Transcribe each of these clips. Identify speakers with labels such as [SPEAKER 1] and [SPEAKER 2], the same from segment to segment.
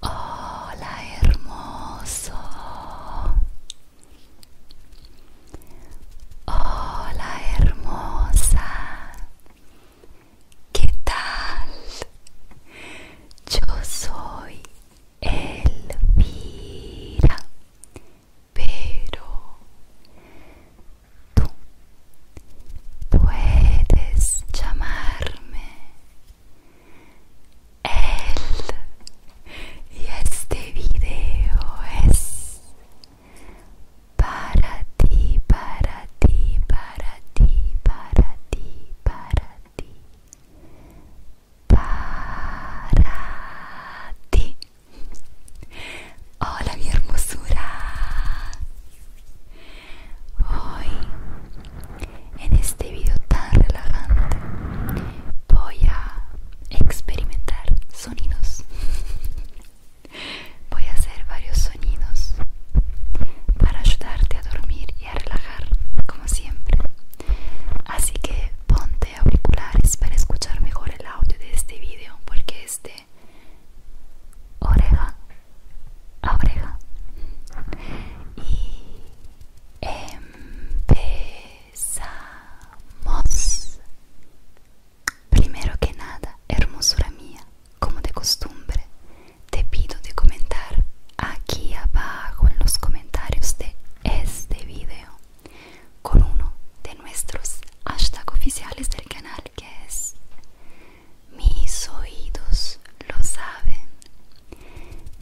[SPEAKER 1] Hola hermoso. Hola hermosa. ¿Qué tal? Yo soy Elvira, pero tú puedes llamarme El. Y este video es para ti, para ti, para ti, para ti, para ti ti, para ti. Hola mi hermosura. Hoy, en este video tan relajante, voy a experimentar sonidos. Voy a hacer varios sonidos para ayudarte a dormir a relajar como siempre. Así que ponte auriculares para escuchar mejor el audio de este video porque es de oreja a oreja. Y empezamos. Primero que nada, hermosura mía, como de costumbre, te pido de comentar aquí abajo en los comentarios de este video con uno de nuestros hashtag oficiales del canal que es mis oídos lo saben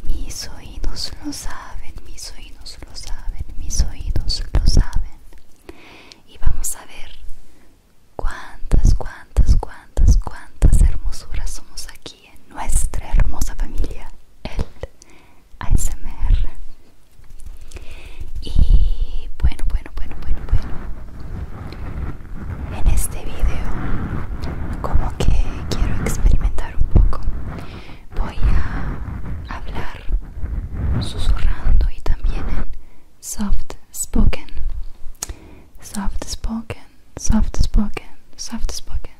[SPEAKER 1] mis oídos lo saben mis oídos lo saben mis oídos lo saben y vamos a ver cuántas cuántas cuántas cuántas hermosuras somos aquí en nuestra hermosa familia, el ASMR. Y bueno, bueno, bueno, bueno, bueno. En este video, como que quiero experimentar un poco, voy a hablar susurrando y también en soft spoken soft spoken, soft spoken, soft spoken,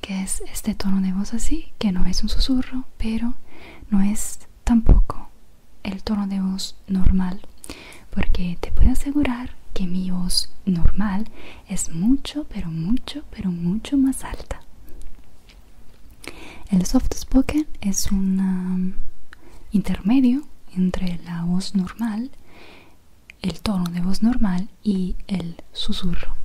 [SPEAKER 1] que es este tono de voz así, que no es un susurro, pero no es tampoco el tono de voz normal, porque te puedo asegurar que mi voz normal es mucho, pero mucho, pero mucho más alta. El soft spoken es un um, intermedio entre la voz normal el tono de voz normal y el susurro.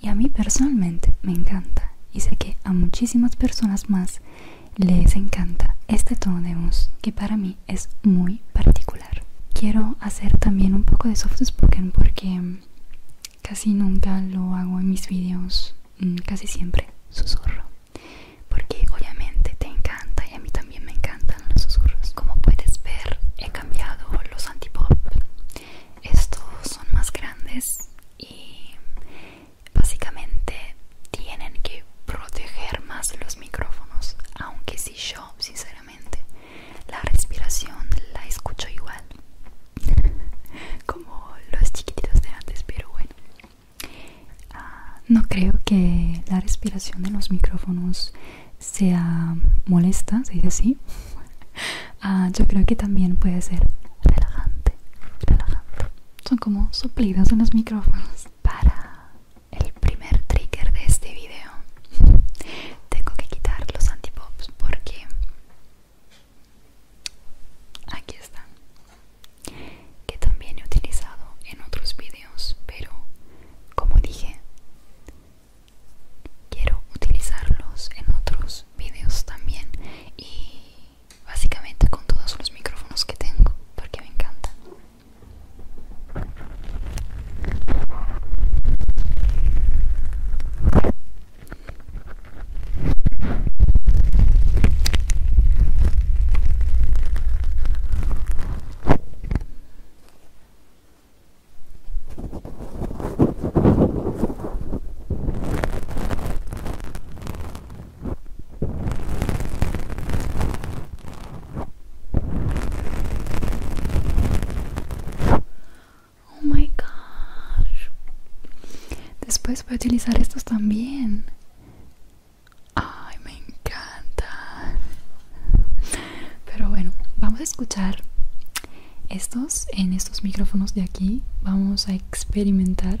[SPEAKER 1] Y a mí personalmente me encanta y sé que a muchísimas personas más les encanta este tono de voz que para mí es muy particular. Quiero hacer también un poco de soft spoken porque casi nunca lo hago en mis videos, mm, casi siempre susurro. Porque obviamente te encanta a mí también me encantan los susurros. Como puedes ver, he cambiado los antipop. Estos son más grandes y básicamente tienen que proteger más los micrófonos, aunque si yo, sinceramente, la respiración la escucho igual como los chiquititos de antes, pero bueno. Ah, no creo que la respiración de los micrófonos sea molesta, se dice así, ah, yo creo que también puede ser relajante, relajante. Son como suplidos en los micrófonos. Para el primer trigger de este video, tengo que quitar los antipops porque aquí están, que también he utilizado en otros vídeos pero como dije quiero utilizarlos en otros videos también y básicamente con todos los micrófonos que tengo porque me encanta Oh my gosh. Después voy a utilizar estos también. Ay, me encanta. Pero bueno, vamos a escuchar estos en estos micrófonos de aquí. Vamos a experimentar.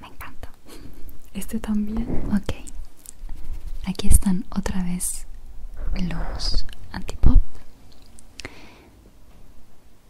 [SPEAKER 1] Me encanta. Este también. Ok. Aquí están otra vez los antipop.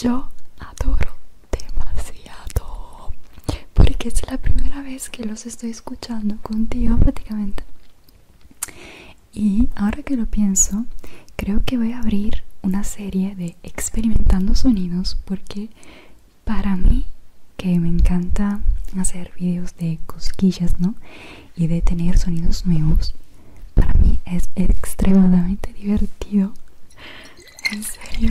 [SPEAKER 1] Yo adoro demasiado porque es la primera vez que los estoy escuchando contigo prácticamente. Y ahora que lo pienso, creo que voy a abrir una serie de experimentando sonidos porque para mí que me encanta hacer videos de cosquillas, ¿no? y de tener sonidos nuevos para mí es extremadamente divertido en serio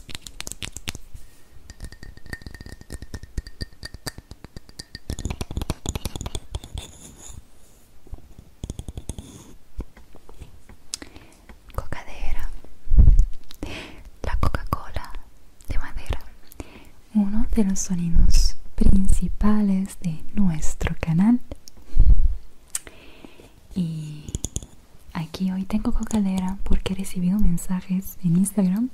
[SPEAKER 1] Cocadera, la Coca-Cola de madera, uno de los sonidos principales de nuestro canal. Y aquí hoy tengo cocadera porque he recibido mensajes en Instagram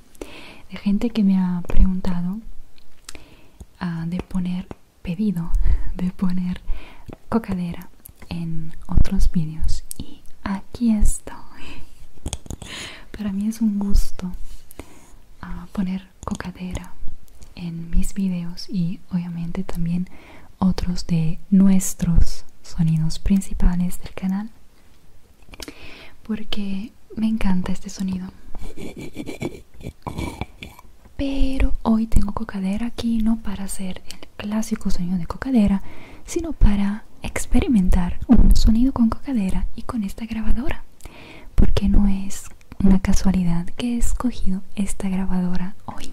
[SPEAKER 1] de gente que me ha preguntado ah, de poner pedido, de poner cocadera en otros vídeos. Y aquí estoy. Para mí es un gusto ah, poner cocadera en mis vídeos y obviamente también otros de nuestros sonidos principales del canal porque me encanta este sonido pero hoy tengo cocadera aquí no para hacer el clásico sonido de cocadera sino para experimentar un sonido con cocadera y con esta grabadora porque no es una casualidad que he escogido esta grabadora hoy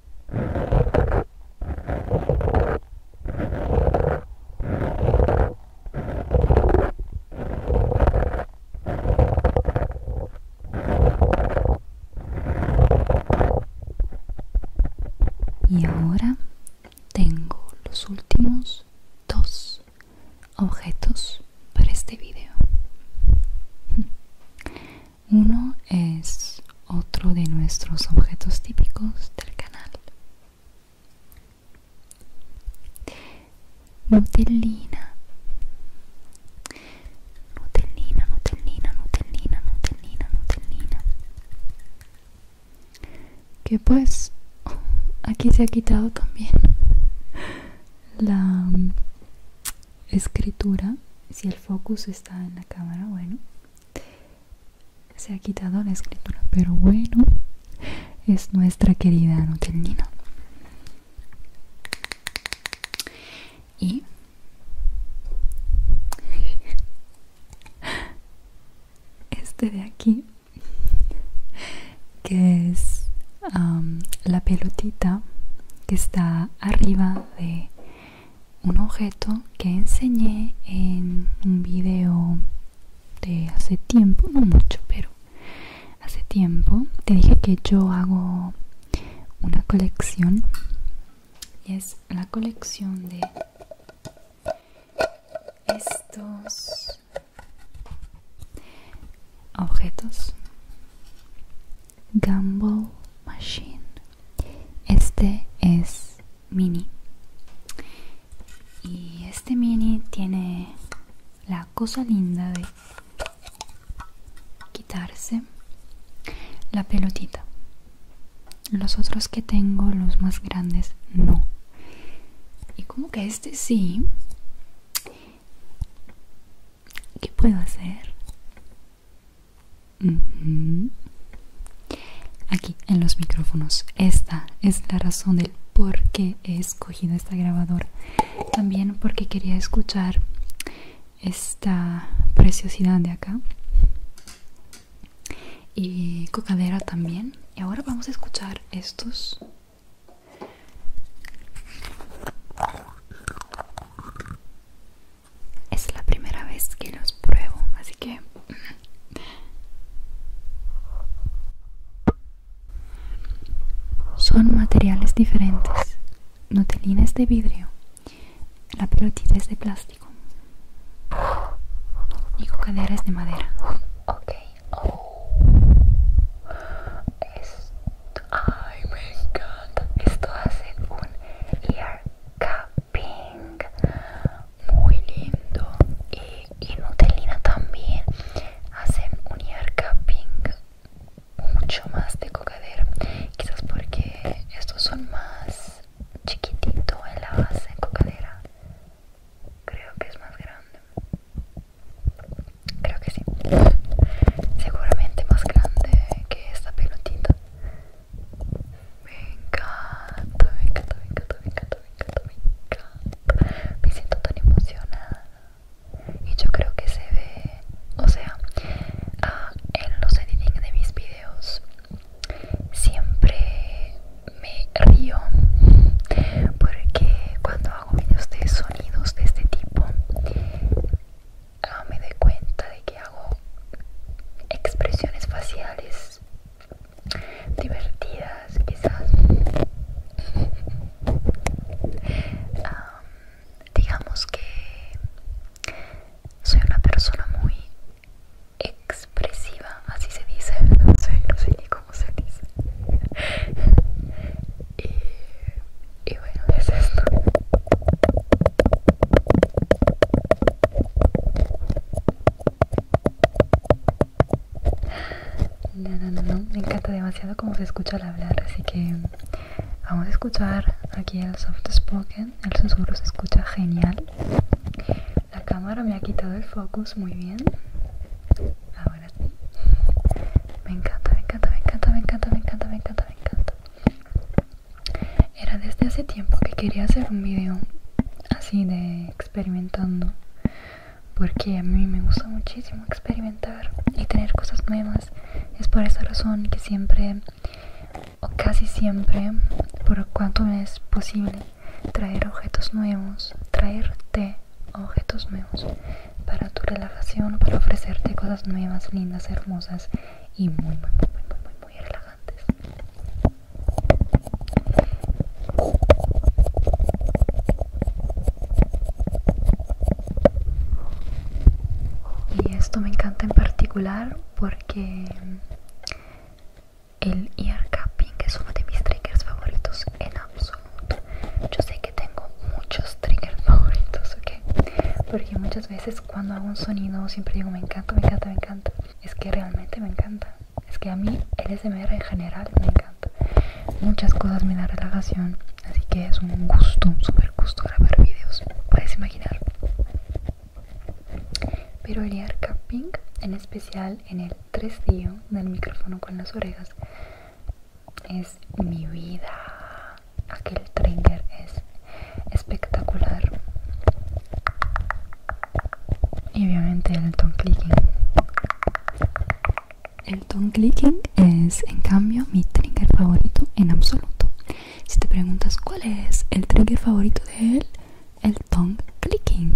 [SPEAKER 1] Y ahora tengo los últimos dos objetos para este video. Uno es otro de nuestros objetos típicos del canal. Nutellina. Nutellina, Nutellina, Nutellina, Nutellina, Nutellina. Que pues aquí se ha quitado también la escritura. Si el focus está en la cámara, bueno se ha quitado la escritura, pero bueno, es nuestra querida Nutellina Y este de aquí, que es la pelotita que está arriba de un objeto que enseñé en un video de hace tiempo, no mucho, pero hace tiempo te dije que yo hago una colección y es la colección de estos objetos Gumball Machine. Este es mini y este mini tiene la cosa linda de quitarse la pelotita los otros que tengo los más grandes no y como que este sí ¿Qué puedo hacer? Aquí en los micrófonos. Esta es la razón del por qué he escogido esta grabadora. También porque quería escuchar esta preciosidad de acá. Y cocadera también. Y ahora vamos a escuchar estos. Es la primera vez que los pruebo, así que... Mm. Son materiales diferentes. Notelina es de vidrio. La pelotita es de plástico. Y cocadera es de madera. Ok. me encanta. un ear pink muy lindo y, Nutellina también hacen un yarka pink mucho más de cocadera quizás porque estos son más chiquitito en la base cocadera creo que es más grande creo que sí seguramente más grande que esta pelotita me encanta, me encanta, me encanta, me encanta, me encanta, me siento tan emocionada. Y yo creo que se ve, o sea, ah, en los editing de mis videos siempre me río porque cuando hago videos de sonidos de este tipo ah, me doy cuenta de que hago expresiones faciales divertidas quizás digamos que soy una persona muy expresiva así se dice no sé no sé ni cómo se dice y, y bueno es esto no, no, no, no, me encanta demasiado cómo se escucha al hablar, así que vamos a escuchar aquí el soft spoken, el susurro se escucha genial. La cámara me ha quitado el focus muy bien. Ahora sí. Me encanta, me encanta, me encanta, me encanta, me encanta, me encanta, me encanta. Era desde hace tiempo que quería hacer un video así de experimentando porque a mí me gusta muchísimo experimentar y tener cosas nuevas es por esa razón que siempre o casi siempre por cuanto es posible traer objetos nuevos traerte objetos nuevos para tu relajación para ofrecerte cosas nuevas lindas hermosas y muy muy muy muy muy, muy, muy relajantes y esto me encanta en particular porque el ear capping es uno de mis triggers favoritos en absoluto. Yo sé que tengo muchos triggers favoritos, ¿ok? Porque muchas veces cuando hago un sonido siempre digo me encanta, me encanta, me encanta. Es que realmente me encanta es que a mí el SMR en general me encanta. Muchas cosas me da relajación, así que es un gusto, un super gusto grabar videos, puedes imaginar. Pero el ear capping, en especial en el 3 d del micrófono con las orejas, es mi vida. Aquel trigger es espectacular y obviamente el Tongue clicking el Tongue clicking es en cambio mi trigger favorito en absoluto si te preguntas cuál es el trigger favorito de él el tongue clicking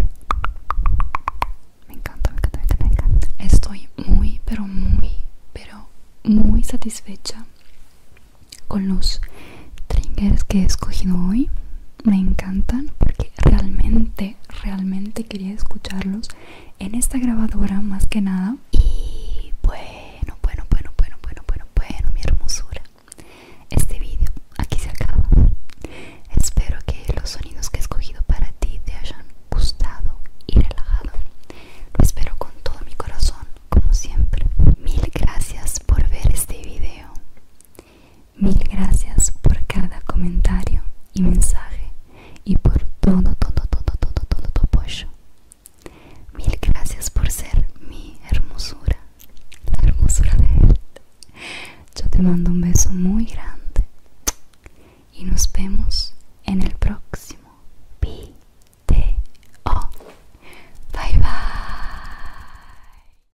[SPEAKER 1] me encanta, me encanta, me encanta estoy muy pero muy pero muy satisfecha con los triggers que he escogido hoy me encantan porque realmente, realmente quería escucharlos en esta grabadora más que nada. Y bueno, bueno, bueno, bueno, bueno, bueno, bueno, mi hermosura. Este vídeo aquí se acaba. Espero que los sonidos que he escogido para ti te hayan gustado y relajado. Lo espero con todo mi corazón, como siempre. Mil gracias por ver este video. Mil gracias por cada comentario y mensaje y por todo, todo, todo, todo, todo tu apoyo. Mil gracias por ser mi hermosura, la hermosura de él. Yo te mando un beso muy grande y nos vemos en el próximo video. Bye bye.